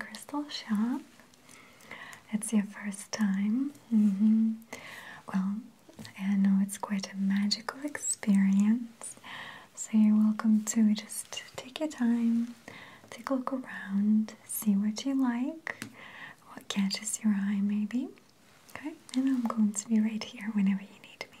crystal shop. It's your first time. Mm-hmm. Well, I know it's quite a magical experience, so you're welcome to just take your time, take a look around, see what you like, what catches your eye, maybe. Okay, and I'm going to be right here whenever you need me.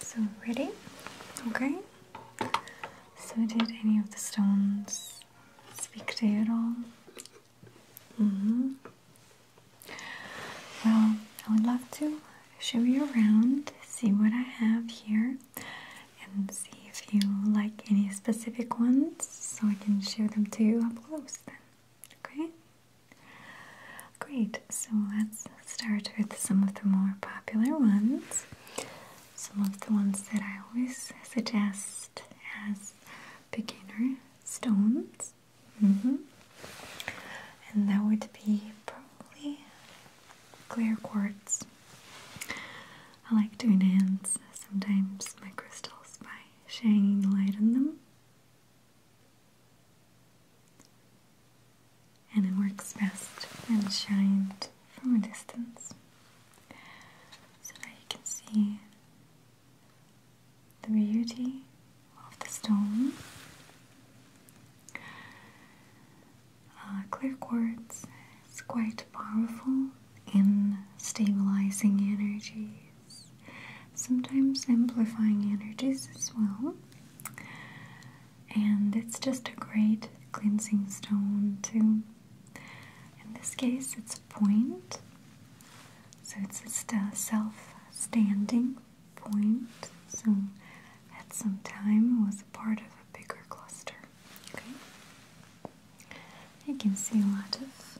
So, ready? Okay. So, did any of the stones speak to you at all? Mm hmm. Well, I would love to show you around, see what I have here, and see if if you like any specific ones so I can share them to you up close then. Okay? Great, so let's start with some of the more popular ones. Some of the ones that I always suggest as beginner stones. -hmm. And that would be probably clear quartz. I like to enhance sometimes my crystals by shining light on them. And it works best when shined from a distance so that you can see the beauty of the stone. Uh, clear quartz is quite powerful in stabilizing energies, sometimes amplifying energies as well. And it's just a great cleansing stone, too. In this case, it's a point, so it's just a self standing point. So, at some time, was a part of a bigger cluster. Okay, you can see a lot of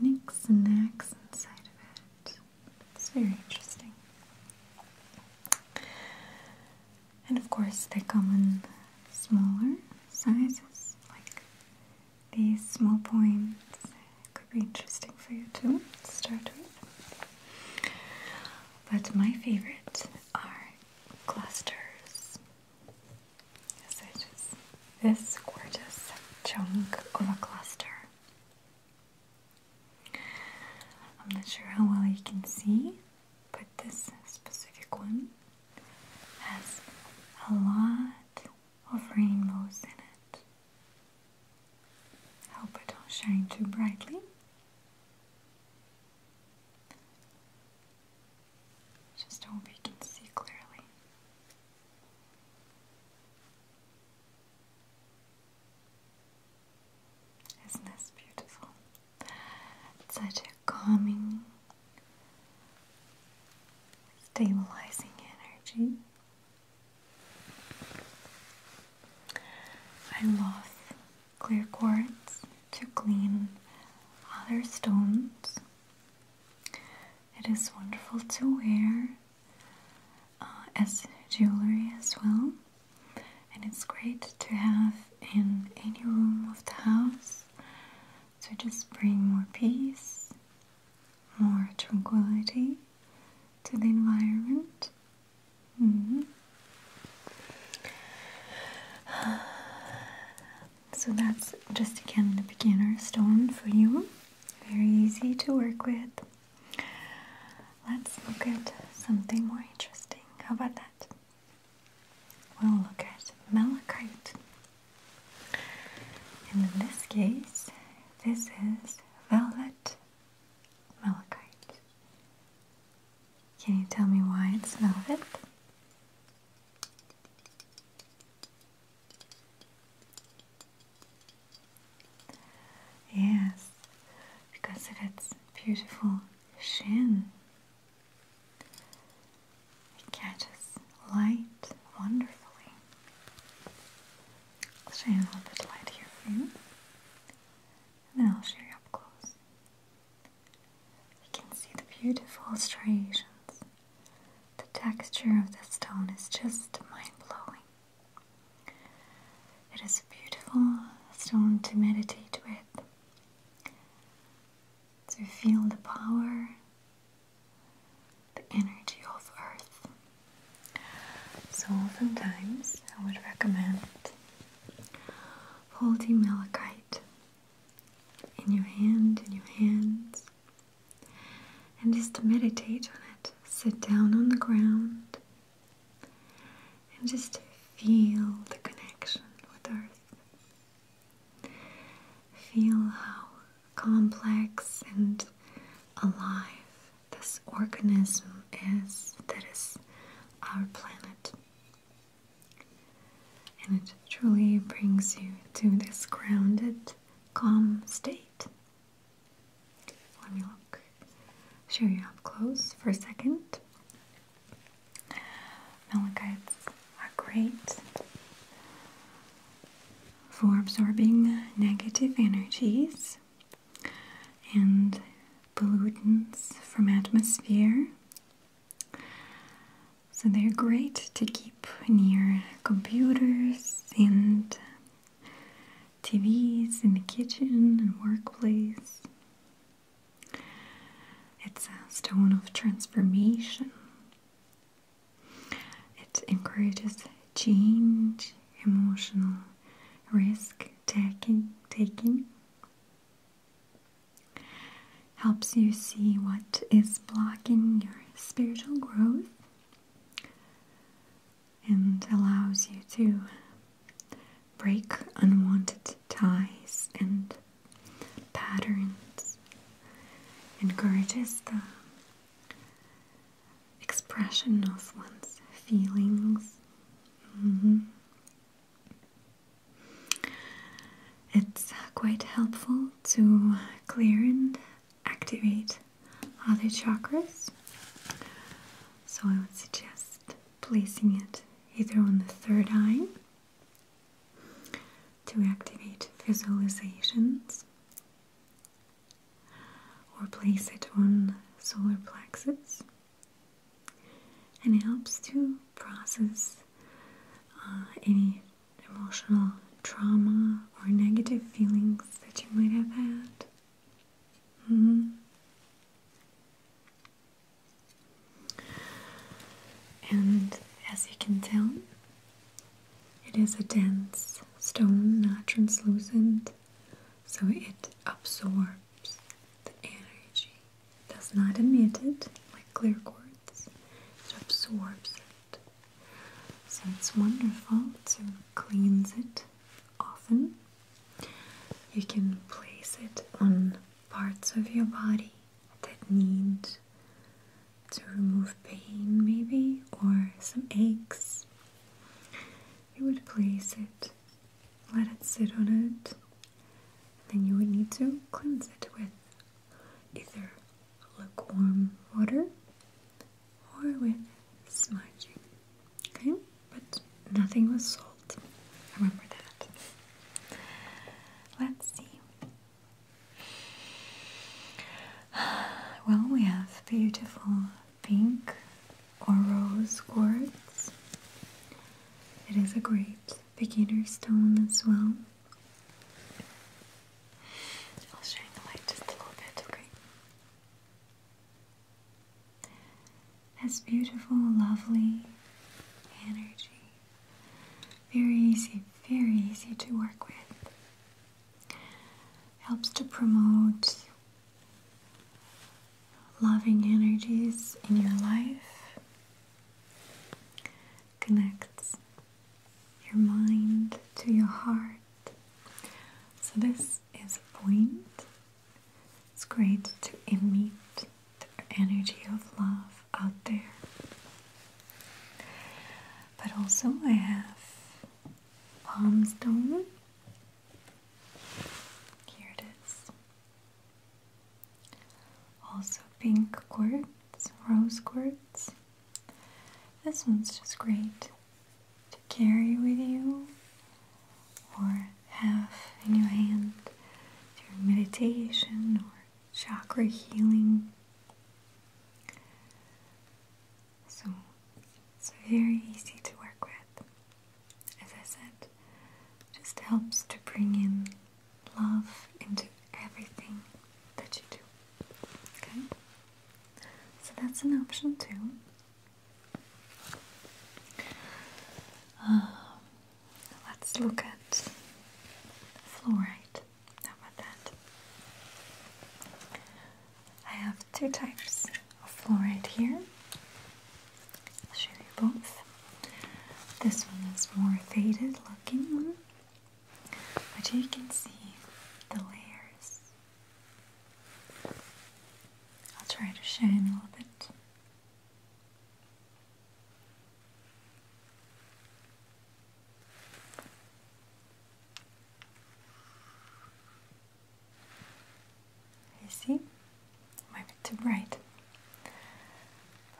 nicks and knacks inside of it. It's very interesting. And of course, they come in smaller sizes, like these small points. could be interesting for you too, start with. But my favorite are clusters this gorgeous chunk of a cluster. I'm not sure how well you can see, but this specific one has a lot of rainbows in it. I hope it don't shine too brightly. Just hope you can see clearly. Isn't this beautiful? such a calming, stabilizing energy. I love clear quartz to clean other stones it is wonderful to wear uh, as jewelry as well, and it's great to have in any room of the house to so just bring more peace, more tranquility to the environment. Mm-hmm. So that's just again the beginner stone for you. Very easy to work with. Let's look at something more interesting. How about that? We'll look at malachite. And in this case, this is velvet malachite. Can you tell me why it's velvet? Yes, because of its beautiful shin. It catches light wonderfully. I'll shine a little bit light here for you. And then I'll show you up close. You can see the beautiful striations. The texture of the stone is just mind blowing. It is a beautiful stone to meditate with, to feel the power, the energy of Earth. So, sometimes I would recommend holding malachite in your hand, in your hands, and just meditate on it. Sit down on the ground and just feel the connection with Earth. Feel how complex and alive this organism is that is our planet. And it truly brings you to this grounded, calm state. Let me look, show you up close for a second. Melanites are great for absorbing negative energies and pollutants from atmosphere so they're great to keep near computers and TVs in the kitchen and workplace. It's a stone of transformation. It encourages change, emotional risk taking, taking helps you see what is blocking your spiritual growth and allows you to break unwanted ties and patterns, encourages the expression of one's feelings. Mm-hmm. It's uh, quite helpful to clear and activate other chakras, so I would suggest placing it either on the third eye to activate visualizations or place it on solar plexus and it helps to process uh, any emotional trauma or negative feelings that you might have had. Mm-hmm. And as you can tell, it is a dense stone, not translucent, so it absorbs the energy, does not emit it like clear quartz it, absorbs it. So it's wonderful to cleanse it often. You can place it on parts of your body that need to remove pain, maybe, or some aches. You would place it, let it sit on it, then you would need to cleanse it with either lukewarm water or with smudging. Okay? But nothing with salt. Remember that. Let's see. Well, we have beautiful pink or rose quartz. It is a great beginner stone as well. I'll shine the light just a little bit, That's beautiful, lovely energy. Very easy, very easy to work with. Helps to promote loving energies in your life connects your mind to your heart. So, this is a point. It's great to emit the energy of love out there. But also, I have palm stone. Here it is. Also pink quartz, rose quartz. This one's just great to carry with you or have in your hand during meditation or chakra healing. So it's very easy to work with. As I said, just helps to bring in love into everything that you do. Okay? So that's an option too. Um, let's look at fluoride. How about that? I have two types of fluoride here. I'll show you both. This one is more faded looking but you can see the layers. I'll try to shine a little bit. You see? I'm bit too bright.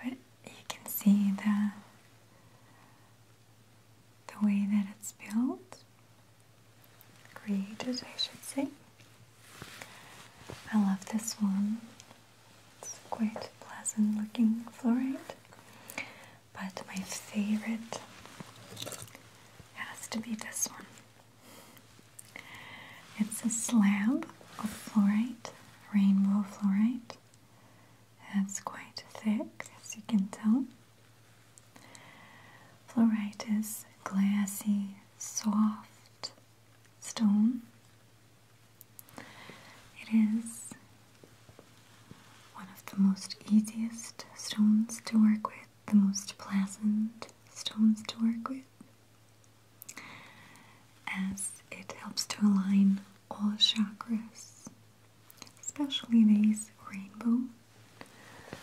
But you can see the the way that it's built, created, I should say. I love this one. It's quite pleasant looking fluorite, but my favorite has to be this one. It's a slab of fluorite, rainbow fluorite, it's quite thick, as you can tell. Fluorite is glassy, soft stone. It is one of the most easiest stones to work with, the most pleasant stones to work with as it helps to align all chakras, especially these rainbow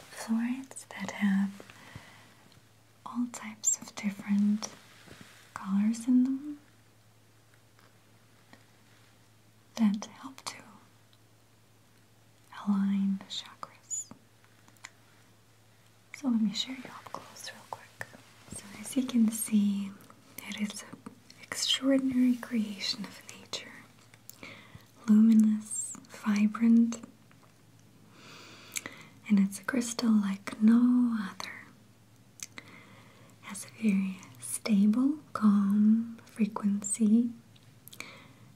florets that have all types of different colors in them that help to align the chakras. So let me show you up close real quick. So as you can see, it is an extraordinary creation of nature, luminous, vibrant, and it's a crystal like no other. Has a very stable, calm frequency,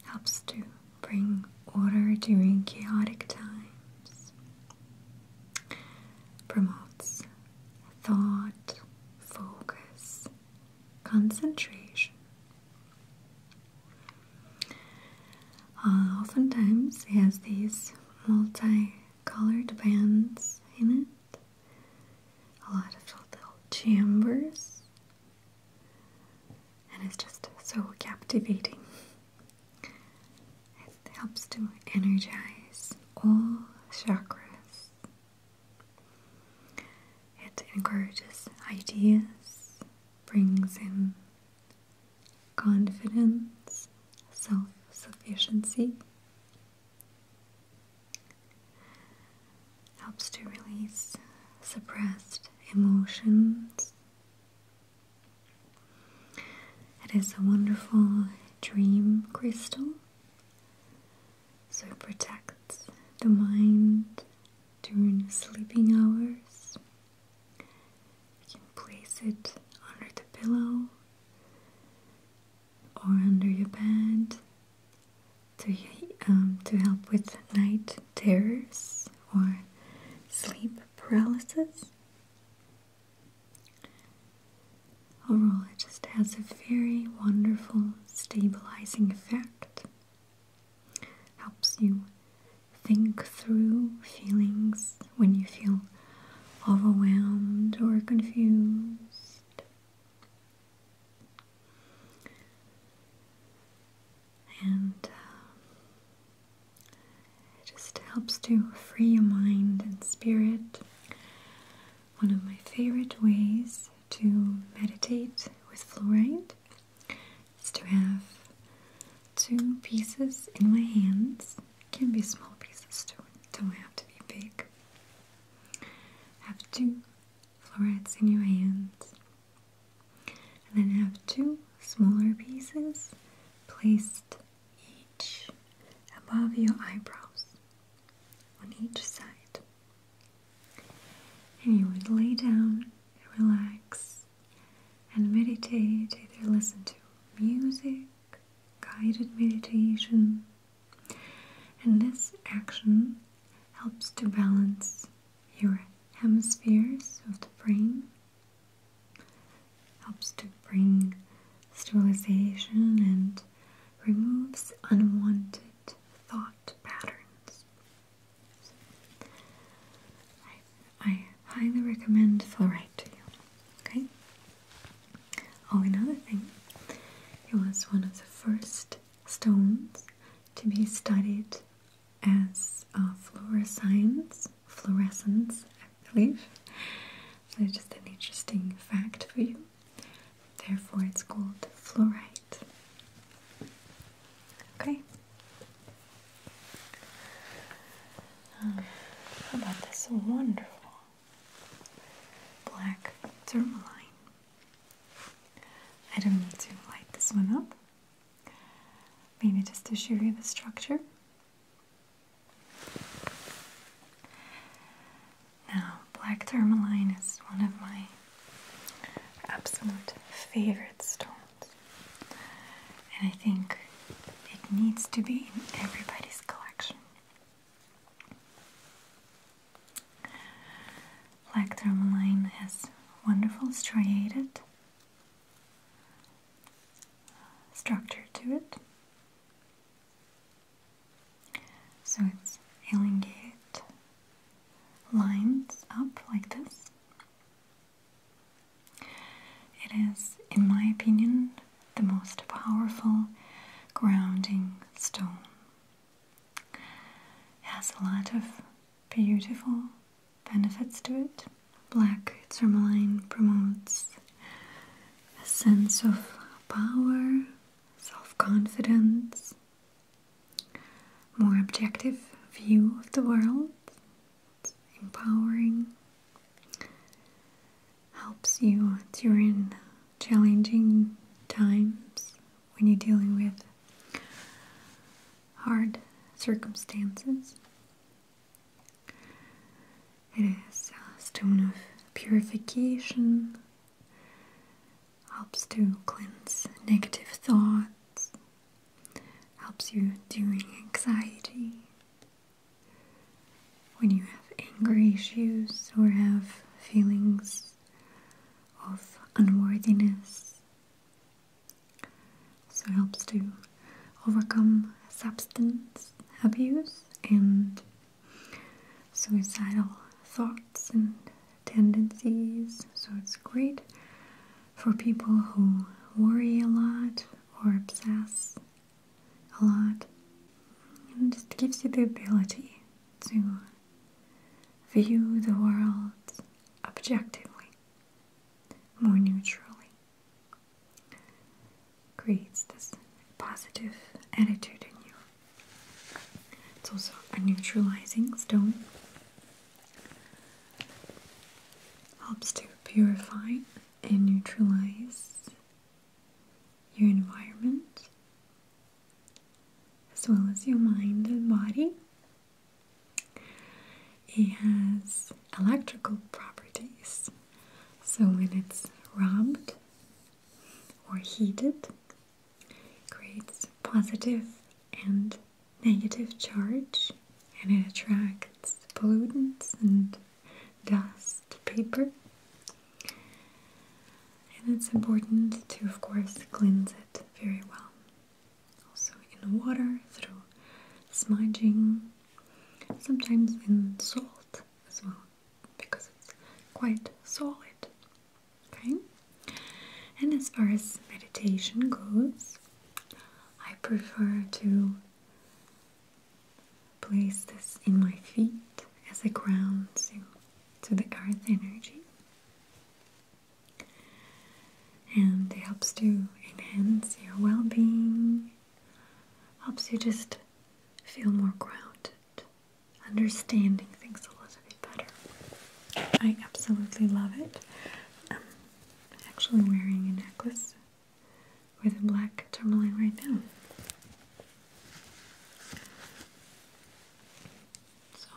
helps to bring order during chaotic times. Promotes thought, focus, concentration. Uh, oftentimes, it has these multi-colored bands in it, a lot of little chambers, and it's just so captivating. It helps to energize all chakras. It encourages ideas, brings in confidence, self sufficiency, helps to release suppressed emotions. It is a wonderful dream crystal so it protects the mind during sleeping hours. You can place it under the pillow or under your bed to, um, to help with night terrors or sleep paralysis. Overall, it just has a very wonderful stabilizing effect. Helps you think through feelings when you feel overwhelmed or confused. And uh, it just helps to free your mind and spirit one of my favorite ways to meditate with fluorite is to have two pieces in my hands. It can be small pieces too, don't have to be big. Have two fluorites in your hands, and then have two smaller pieces placed each above your eyebrows on each side. And you would lay down, relax, and meditate or listen to music, guided meditation, and this action helps to balance your hemispheres of the brain, helps to bring stabilization and removes unwanted thought patterns. I, highly recommend fluoride to you. Okay. Oh, another thing. It was one of the first stones to be studied as uh, fluorescence. Fluorescence, I believe. So just an interesting fact for you. Therefore, it's called fluorite. Okay. Um, how about this wonderful black tourmaline? I don't need to light this one up. Maybe just to show you the structure. Now, black tourmaline is one of my absolute favorite stones, and I think it needs to be in everybody's collection. Black tourmaline has wonderful striated structure to it. So it's elongate lines up like this. It is, in my opinion, the most powerful grounding stone. It has a lot of beautiful benefits to it. Black tourmaline promotes a sense of power, self confidence, more objective view of the world. empowering, helps you during challenging times when you're dealing with hard circumstances. It is a stone of purification, helps to cleanse negative thoughts, helps you during anxiety. When you have anger issues or have feelings of unworthiness, so helps to overcome substance abuse and suicidal thoughts and tendencies. So it's great for people who worry a lot or obsess a lot. And it gives you the ability to view the world objectively, more neutrally creates this positive attitude in you. It's also a neutralizing stone, helps to purify and neutralize your environment as well as your mind and body. It has electrical properties, so when it's rubbed or heated creates positive and negative charge and it attracts pollutants and dust paper and it's important to of course cleanse it very well also in water through smudging sometimes in salt as well because it's quite solid. Okay? And as far as meditation goes, I prefer to place this in my feet as a ground to, to the earth energy. And it helps to enhance your well being, helps you just feel more grounded understanding things a little bit better. I absolutely love it. I'm um, actually wearing a necklace with a black tourmaline right now. So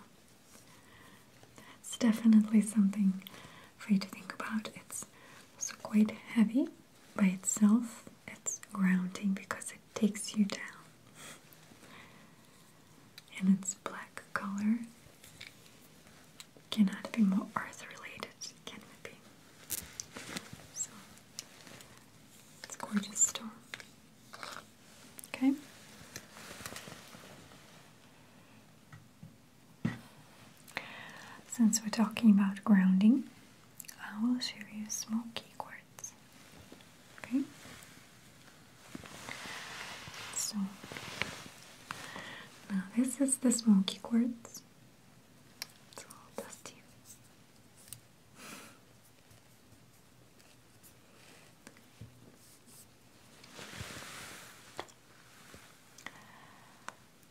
that's definitely something for you to think about. It's also quite heavy by itself, it's grounding because it takes you down. And its black color cannot be more earth related, can it be? So it's gorgeous storm. Okay. Since we're talking about grounding, I will show you a small key chord. Okay? So, now this is the smoky quartz. It's all dusty.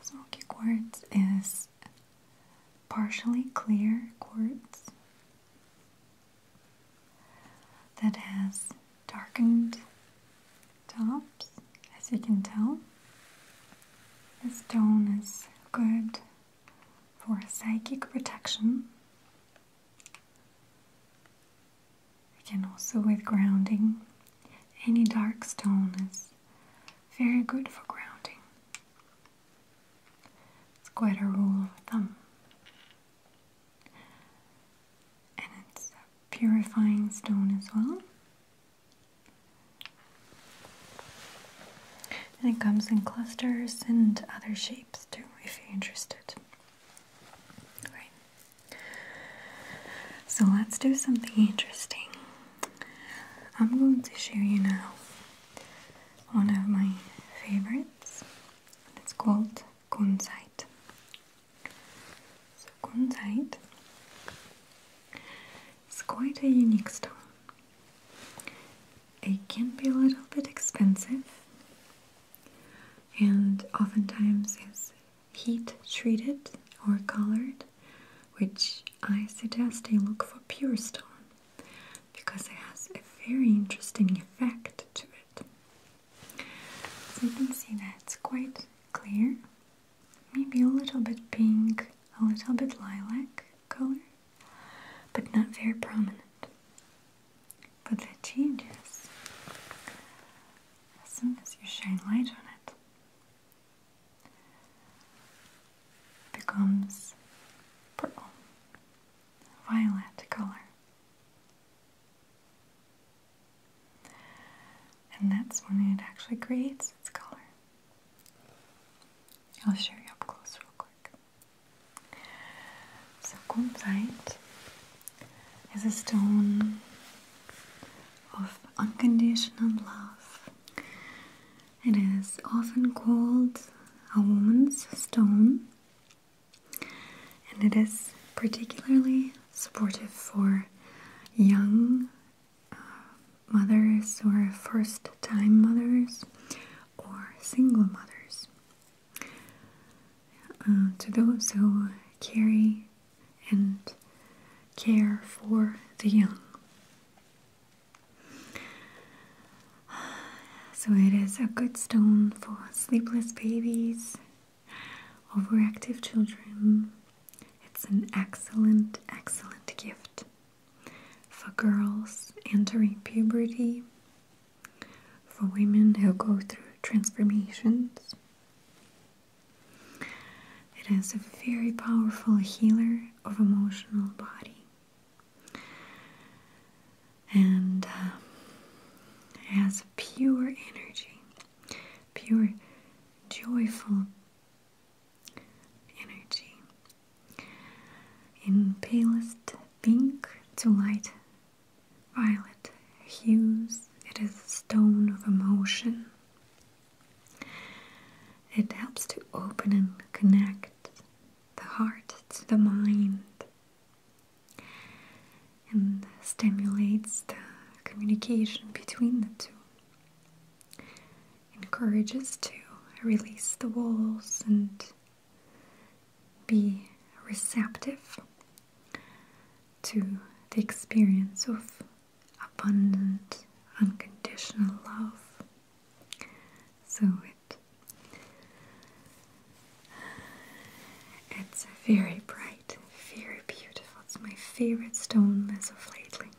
Smoky quartz is partially clear quartz that has darkened tops, as you can tell. The stone is good for psychic protection. Again, also with grounding. Any dark stone is very good for grounding. It's quite a rule of thumb. And it's a purifying stone as well. And it comes in clusters and other shapes too, if you're interested. Right. So let's do something interesting. I'm going to show you now one of my favorites. It's called kunzite. So kunzite is quite a unique stone. It can be a little bit expensive and oftentimes is heat treated or colored, which I suggest they look for pure stone because it has a very interesting effect to it. So you can see that it's quite clear, maybe a little bit pink, a little bit lilac color, but not very prominent. But that changes as soon as you shine light on it becomes purple, violet color. And that's when it actually creates its color. I'll show you up close real quick. So kumsite is a stone of unconditional love it is often called a woman's stone, and it is particularly supportive for young uh, mothers or first time mothers or single mothers. Uh, to those who carry and care for the young. So it is a good stone for sleepless babies, overactive children. It's an excellent, excellent gift for girls entering puberty, for women who go through transformations. It is a very powerful healer of emotional body and uh, it has pure energy, pure, joyful energy in palest pink to light violet hues. It is a stone of emotion. It helps to open and connect the heart to the mind and stimulates the communication between the two. Encourages to release the walls and be receptive to the experience of abundant, unconditional love. So it it's very bright, very beautiful. It's my favorite stone as of lately.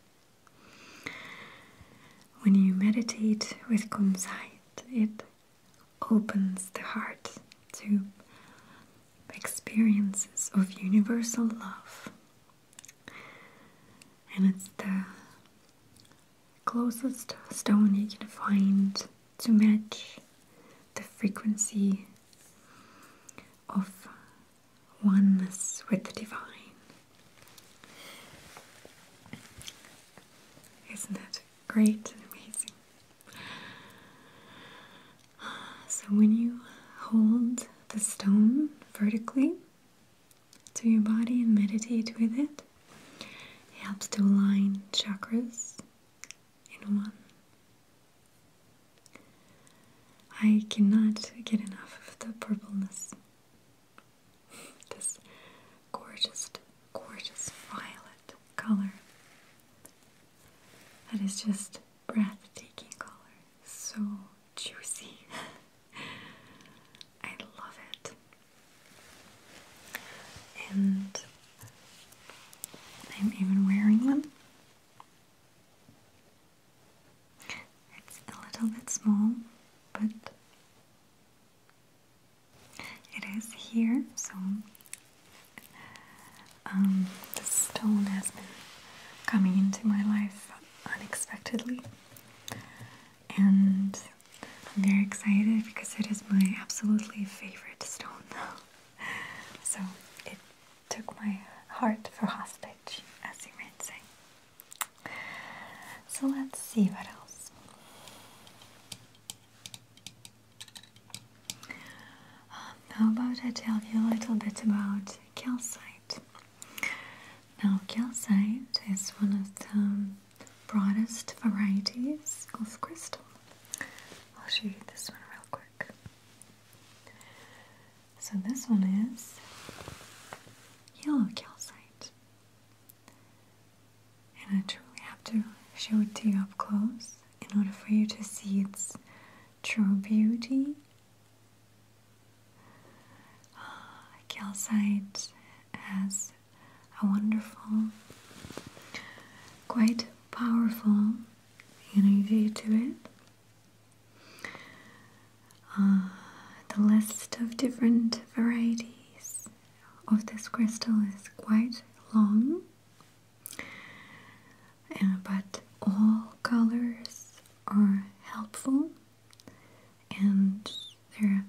When you meditate with Kumsait, it opens the heart to experiences of universal love. And it's the closest stone you can find to match the frequency of oneness with the divine. Isn't it great and amazing? So, when you hold the stone vertically, to your body and meditate with it. It helps to align chakras in one. I cannot get enough of the purpleness. this gorgeous, gorgeous violet color. That is just breathtaking color. So juicy. I love it. And I'm even wearing them. It's a little bit small, but it is here, so um, the stone has been coming into my life unexpectedly and I'm very excited because it is my absolutely favorite stone. so it took my heart for hostage, as you might say. So let's see what else. Um, how about I tell you a little bit about calcite? Now, calcite is one of the broadest varieties of crystal. I'll show you this one real quick. So, this one is yellow calcite, and I truly have to show it to you up close in order for you to see its true beauty uh, calcite has a wonderful, quite powerful energy to it. Ah, the list of different varieties of this crystal is quite long, but all colors are helpful and they're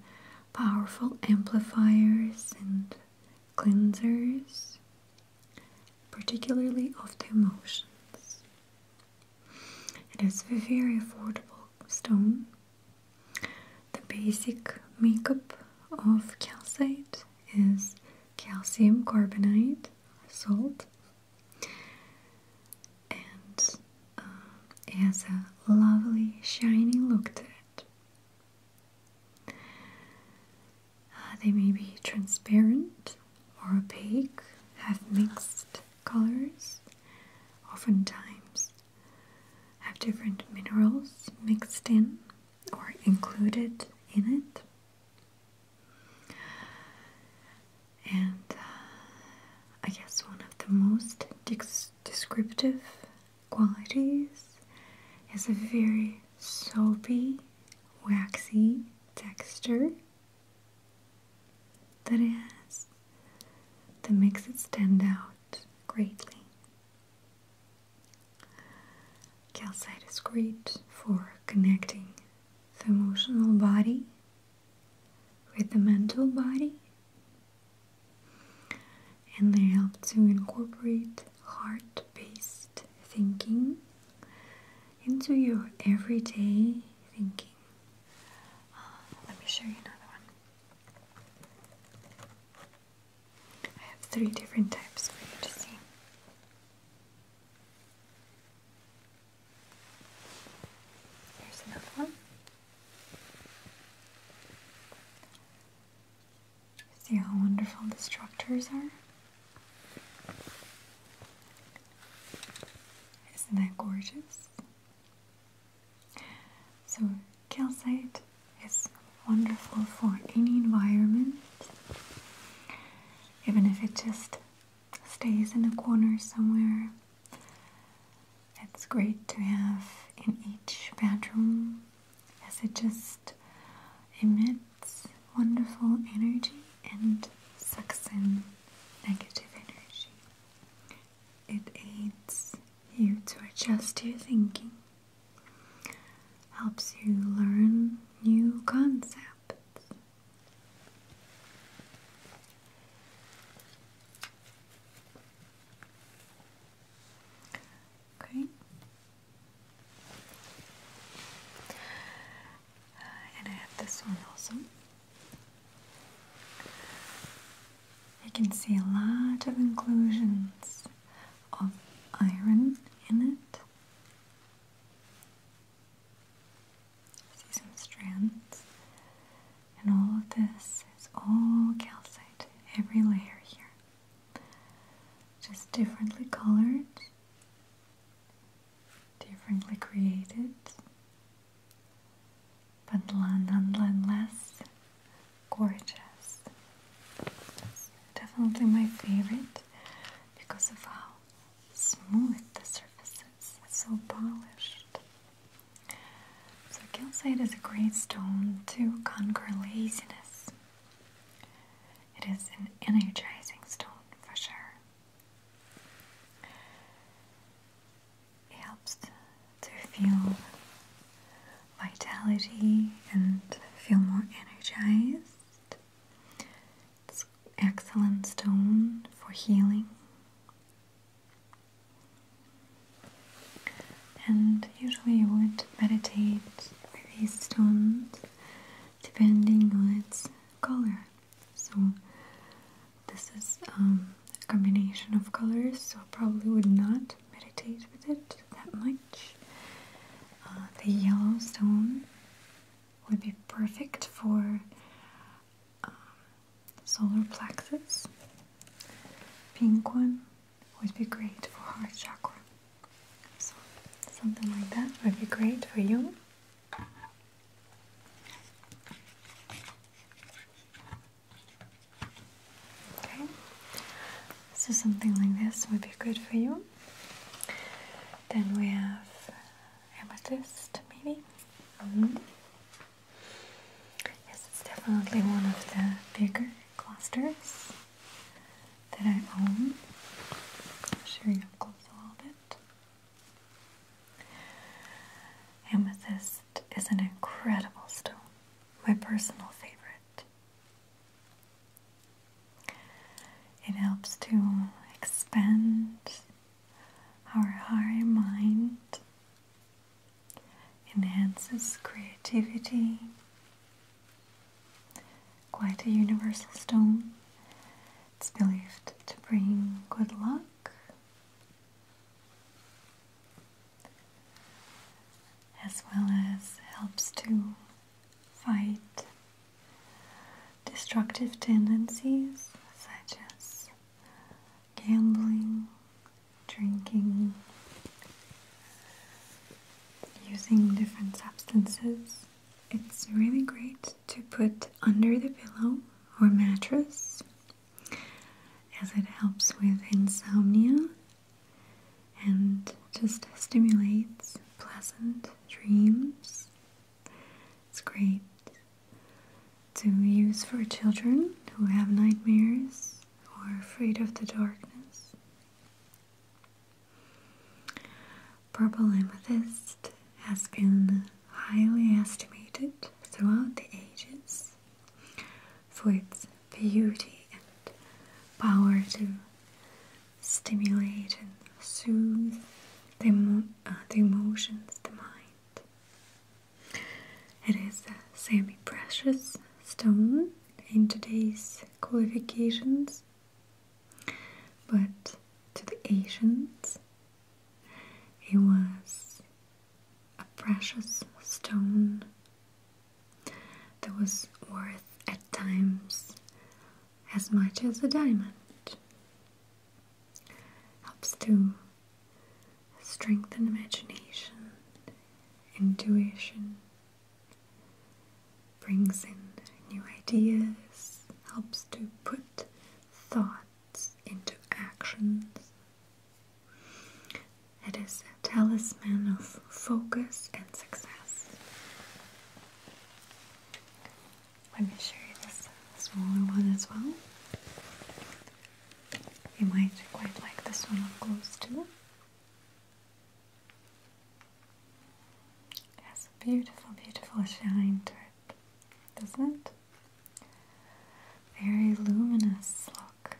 powerful amplifiers and cleansers, particularly of the emotions. It is a very affordable stone. The basic makeup of calcite is calcium carbonate salt and uh, it has a lovely shiny look to it. Uh, they may be transparent or opaque, have mixed colors, oftentimes have different minerals mixed in or included in it. And uh, I guess one of the most descriptive qualities. It's a very soapy, waxy texture that is that makes it stand out greatly. Calcite is great for connecting the emotional body with the mental body and they help to incorporate heart based thinking into your everyday thinking. Uh, let me show you another one. I have three different types for you to see. Here's another one. See how wonderful the structures are? Isn't that gorgeous? So, calcite is wonderful for any environment, even if it just stays in a corner somewhere it's great to have in each bedroom as it just emits wonderful energy and sucks in negative energy. It aids you to adjust your thinking, helps you learn new concepts. Okay. Uh, and I have this one also. I can see a lot of inclusions of iron in it. See some strands. And all of this is all calcite, every layer here. Just differently colored, differently created, but nonetheless gorgeous. It's definitely my favorite because of how smooth the surface is, it's so polished. So calcite is a great stone to conquer laziness. It is an energizing stone for sure. It helps to feel vitality and feel more energized. It's excellent stone for healing. And usually you would meditate with these stones depending on its color. So this is um, a combination of colors, so probably would not meditate with it that much. Uh, the yellow stone would be perfect for um, solar plexus. Pink one would be great for heart chakra. So something like that would be great for you. Okay, so something like this would be good for you. Then we have amethyst, maybe. Mm-hmm. Yes, it's definitely one of the bigger clusters that I own. i up close a little bit. Amethyst is an incredible stone, my personal favorite. It helps to expand our higher mind enhances creativity. Quite a universal stone. It's believed to bring good luck. As well as helps to fight destructive tendencies such as gambling, drinking, using different substances. It's really great to put under the pillow or mattress as it helps with insomnia and just stimulates pleasant dreams. It's great to use for children who have nightmares or are afraid of the darkness. Purple amethyst has been highly estimated throughout the ages for its beauty and power to stimulate and soothe the, uh, the emotions, the mind. It is a semi-precious stone in today's qualifications, but to the ancients it was a precious stone that was worth at times as much as a diamond. Helps to strength and imagination, intuition, brings in new ideas, helps to put thoughts into actions. It is a talisman of focus and success. Let me show you this smaller one as well. You might quite like this one up close too. It has a beautiful, beautiful shine to it, doesn't it? Very luminous look.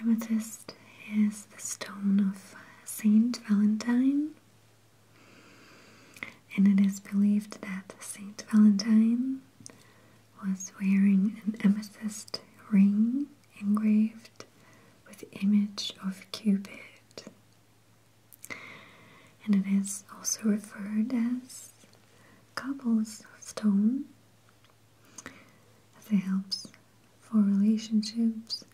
Amethyst is the stone of Saint Valentine, and it is believed that Saint Valentine was wearing an amethyst ring engraved with the image of Cupid. And it is also referred as cobblestone as it helps for relationships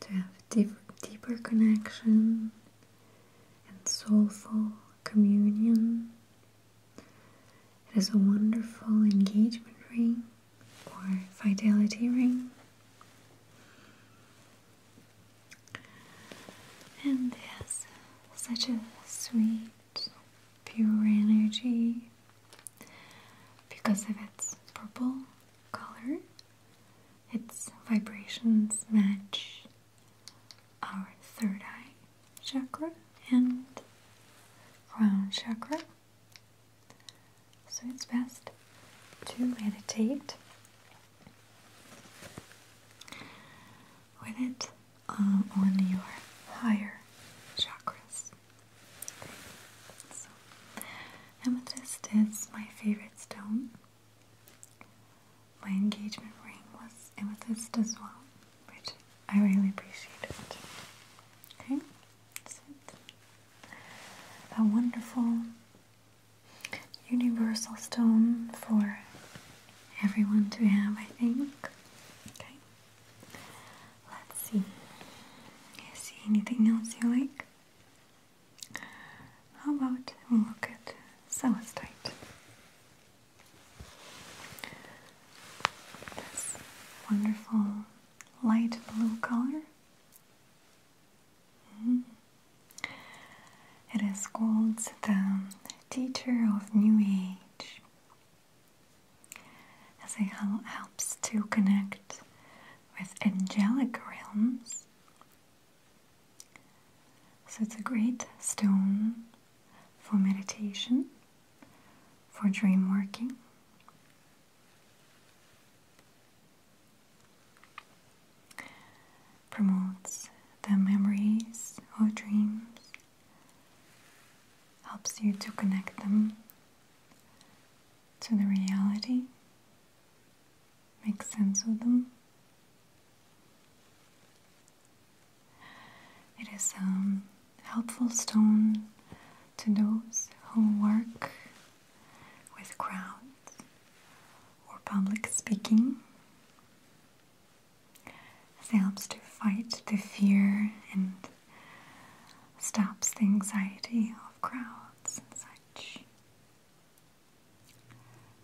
to have deeper connection and soulful communion it is a wonderful engagement ring or fidelity ring. And there's such a sweet, pure energy because of its purple color. Its vibrations match our third eye chakra and crown chakra. So it's best to meditate with it um, on your higher chakras. amethyst is my favorite stone my engagement ring was amethyst as well, which I really appreciate. Okay, A wonderful universal stone for everyone to have, I think. Okay, let's see. You see anything else you like? How about we look at celestite? This wonderful light blue color. Mm. It is called the Teacher of New Age, it helps to connect with angelic realms so it's a great stone for meditation, for dream working. Promotes the memories or dreams, helps you to connect them to the reality, Makes sense of them. It is a um, helpful stone to those who work with crowds or public speaking. It helps to fight the fear and stops the anxiety of crowds and such.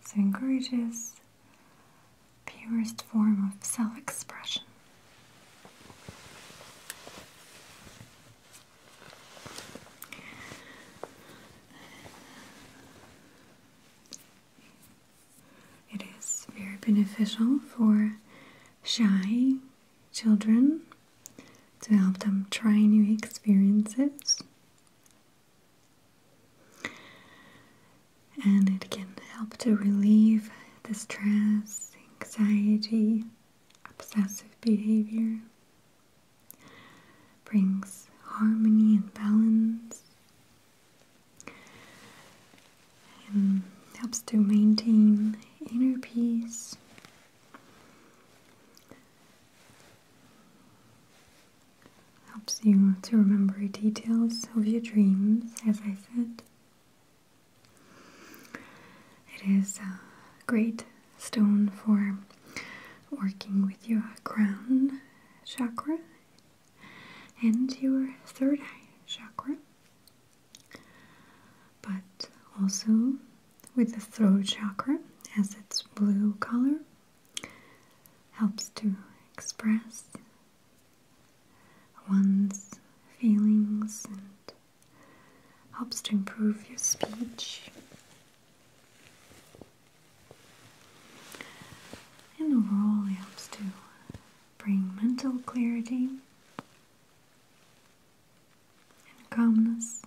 So encourages purest form of self expression. It is very beneficial for shy children to help them try new experiences and it can help to relieve the stress, anxiety, obsessive behavior, brings harmony and balance, and helps to maintain inner peace. Helps you to remember details of your dreams, as I said. It is a great stone for working with your crown chakra and your third eye chakra, but also with the throat chakra as its blue color helps to express one's feelings and helps to improve your speech. And overall, it helps to bring mental clarity and calmness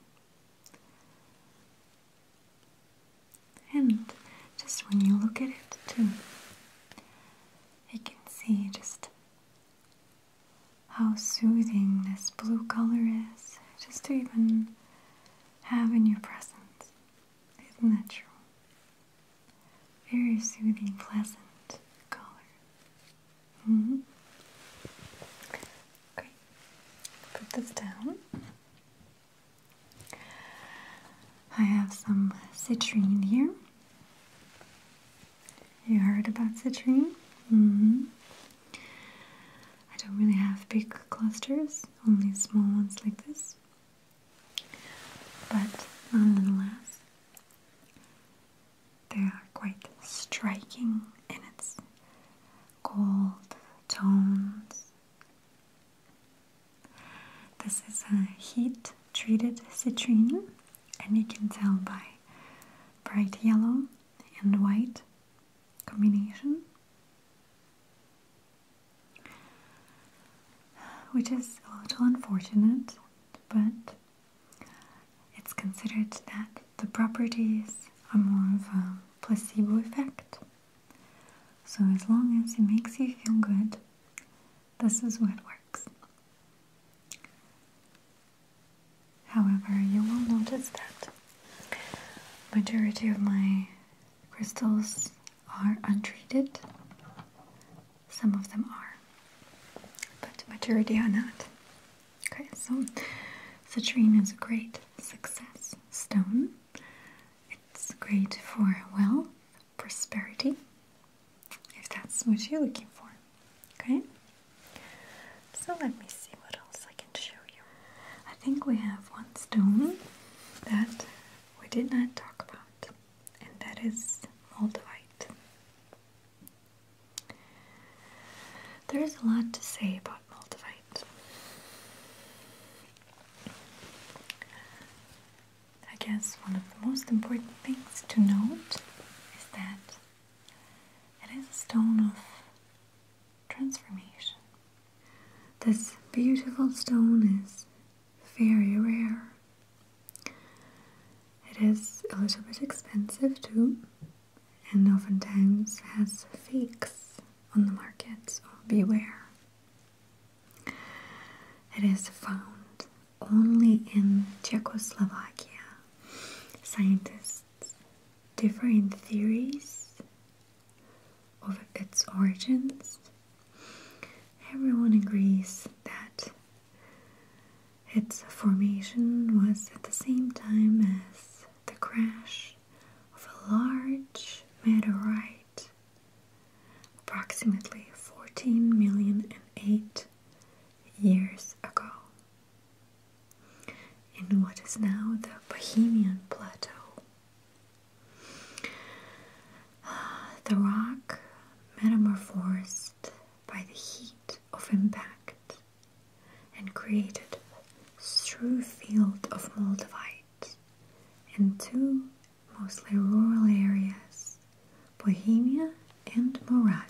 and just when you look at it too, you can see just how soothing this blue color is just to even have in your presence. Isn't that true? Very soothing, pleasant color. -hmm. Okay, put this down. I have some citrine here. You heard about citrine? Mm-hmm. I don't really have big clusters, only small ones like this. But nonetheless, they are quite striking in its gold tones this is a heat treated citrine, and you can tell by bright yellow and white combination, which is a little unfortunate, but it's considered that the properties are more of a placebo effect so, as long as it makes you feel good, this is what works. However, you will notice that majority of my crystals are untreated. Some of them are, but majority are not. Okay, so citrine is a great success stone. It's great for wealth prosperity, if that's what you're looking for. Okay? So let me see what else I can show you. I think we have one stone that we did not talk about, and that is moldavite. There is a lot to say about moldavite. I guess one of the most important things to note is that it is a stone of transformation. This beautiful stone is very rare. It is a little bit expensive too, and oftentimes has fakes on the market, so beware. It is found only in Czechoslovakia. Scientists differ in theories of its origins. Everyone agrees that its formation was at the same time as the crash of a large meteorite approximately 14 million and eight years ago, in what is now the Bohemian Plateau. The rock metamorphosed by the heat of impact and created a true field of moldavite into mostly rural areas, Bohemia and Moravia.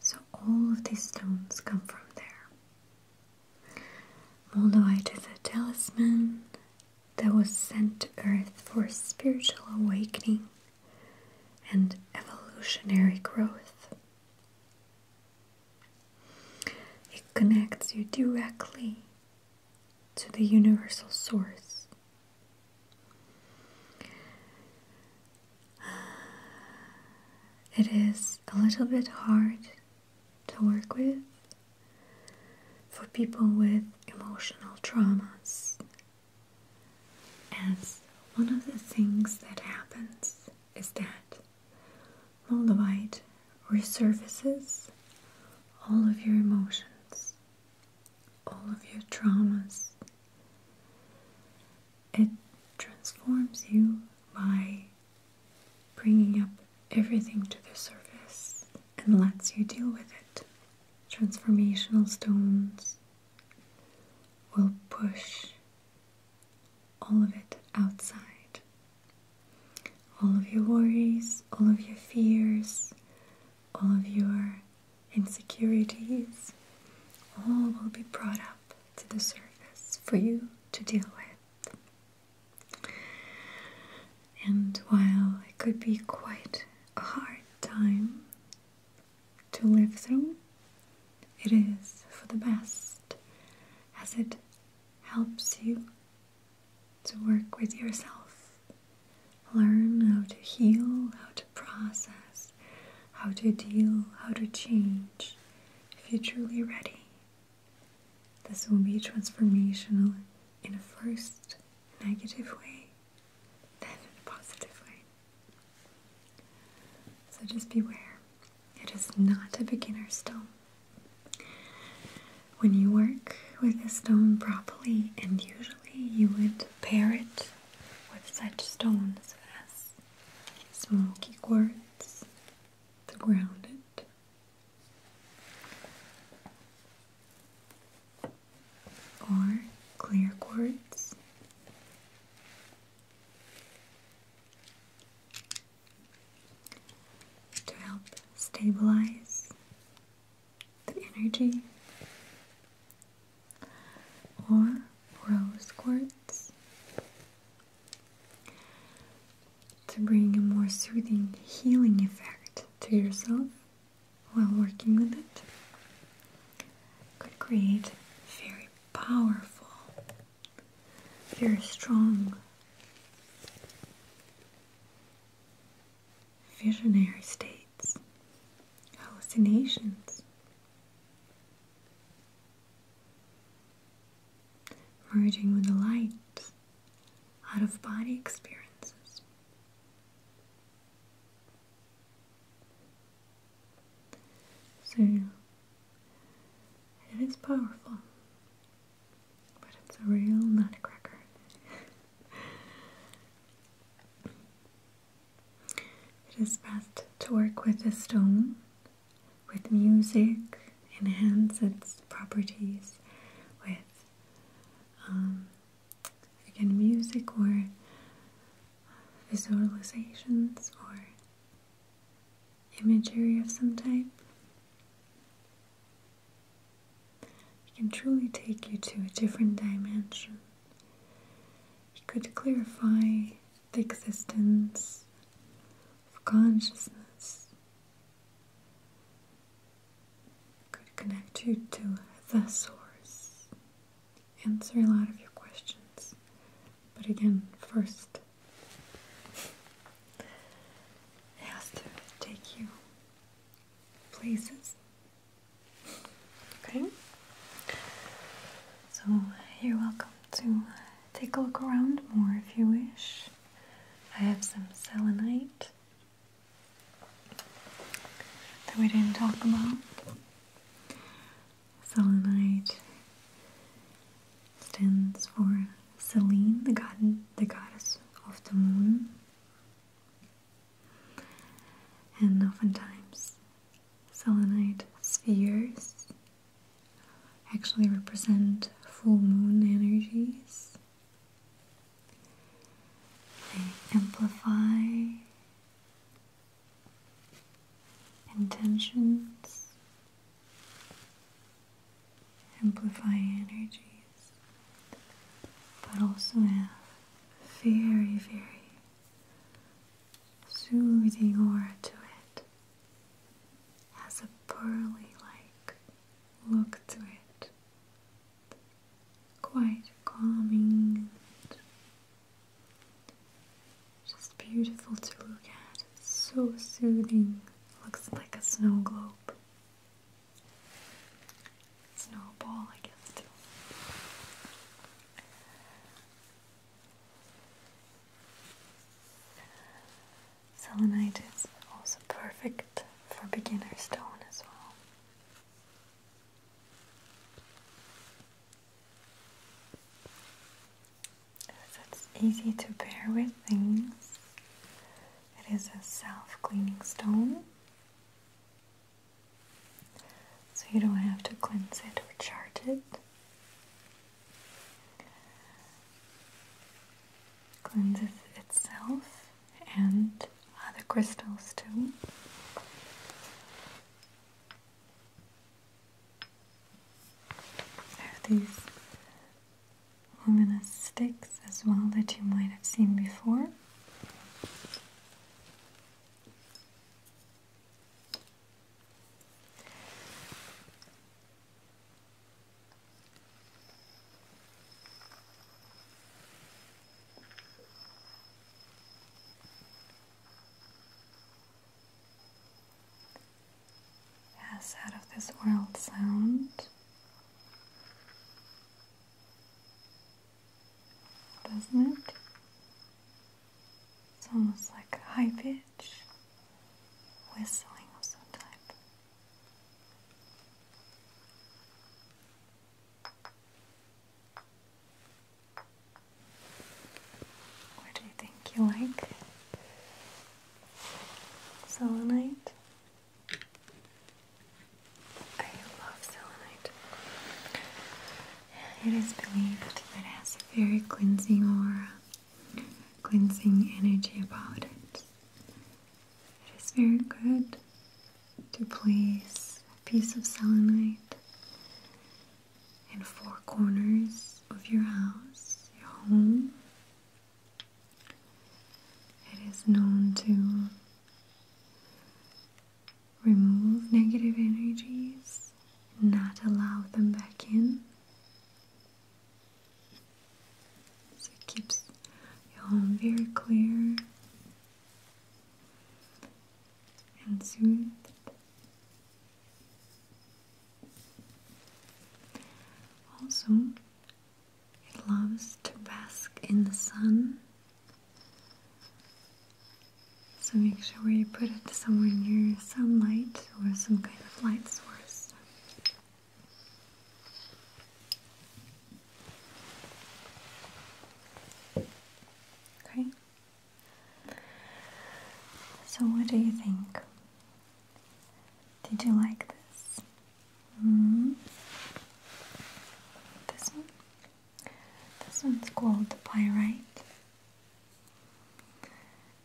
So all of these stones come from there. Moldavite is a talisman that was sent to Earth for spiritual awakening and evolutionary growth. It connects you directly to the universal source. It is a little bit hard to work with for people with emotional traumas, as one of the things that happens is that Moldavite resurfaces all of your emotions, all of your traumas. It transforms you by bringing up everything to the surface and lets you deal with it. Transformational stones will push all of it outside all of your worries, all of your fears, all of your insecurities, all will be brought up to the surface for you to deal with. And while it could be quite a hard time to live through, it is for the best as it helps you to work with yourself. Learn how to heal, how to process, how to deal, how to change if you're truly ready. This will be transformational in a first negative way, then in a positive way. So just beware, it is not a beginner's stone. When you work with a stone properly, and usually you would pair it with such stones as smoky quartz to ground it. Or clear quartz, to help stabilize the energy, or rose quartz to bring a more soothing, healing effect to yourself while working with it. Could create very powerful, very strong visionary states, hallucinations, merging with the light, out of body experiences. So it is powerful but it's a real nutcracker. it is best to work with the stone. With music, enhance its properties with um, again music or visualizations or imagery of some type. It can truly take you to a different dimension. It could clarify the existence of consciousness. It could connect you to the source. Answer a lot of your questions. But again, first it has to take you places. Okay, so you're welcome to uh, take a look around more if you wish. I have some selenite that we didn't talk about. Selenite stands for Selene, the, god the goddess of the moon. And oftentimes, selenite spheres actually represent full moon energies. They amplify intentions amplify energies, but also have very, very soothing aura to it. Has a pearly like look to it. Quite calming just beautiful to look at. It's so soothing. Looks like a snow globe. Snowball, I guess, too. Selenite is also perfect for beginner stone as well. it's easy to pair with things it is a self-cleaning stone. So you don't have to cleanse it or charge it. Cleanses itself and other crystals too. have these luminous sticks as well that you might have seen before. Yes, out of this world sound doesn't it? It's almost like a high pitch whistling of some type. What do you think you like? Selenite? I love selenite. It is believed that it has very cleansing aura, cleansing energy about it. It is very good to place a piece of selenite in four corners of your house, your home, it is known to remove negative energies, not allow them back in. So it keeps your home very clear and soothed. Also, it loves to bask in the sun. So make sure where you put it somewhere near sunlight or some kind of light source. Okay. So what do you think? Did you like this? Mm-hmm. This one? This one's called Pyrite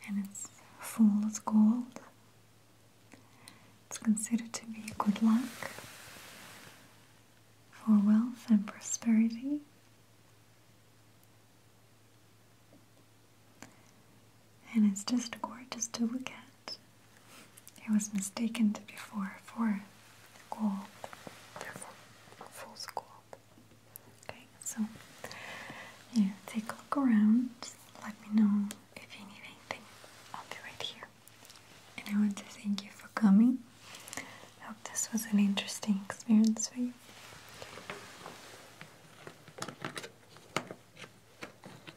and it's full of gold. It's considered to be good luck for wealth and prosperity and it's just gorgeous to look at. It was mistaken before for gold, therefore fool's gold. Okay, so yeah, take a look around. Let me know if you need anything. I'll be right here. And I want to thank you for coming. I hope this was an interesting experience for you.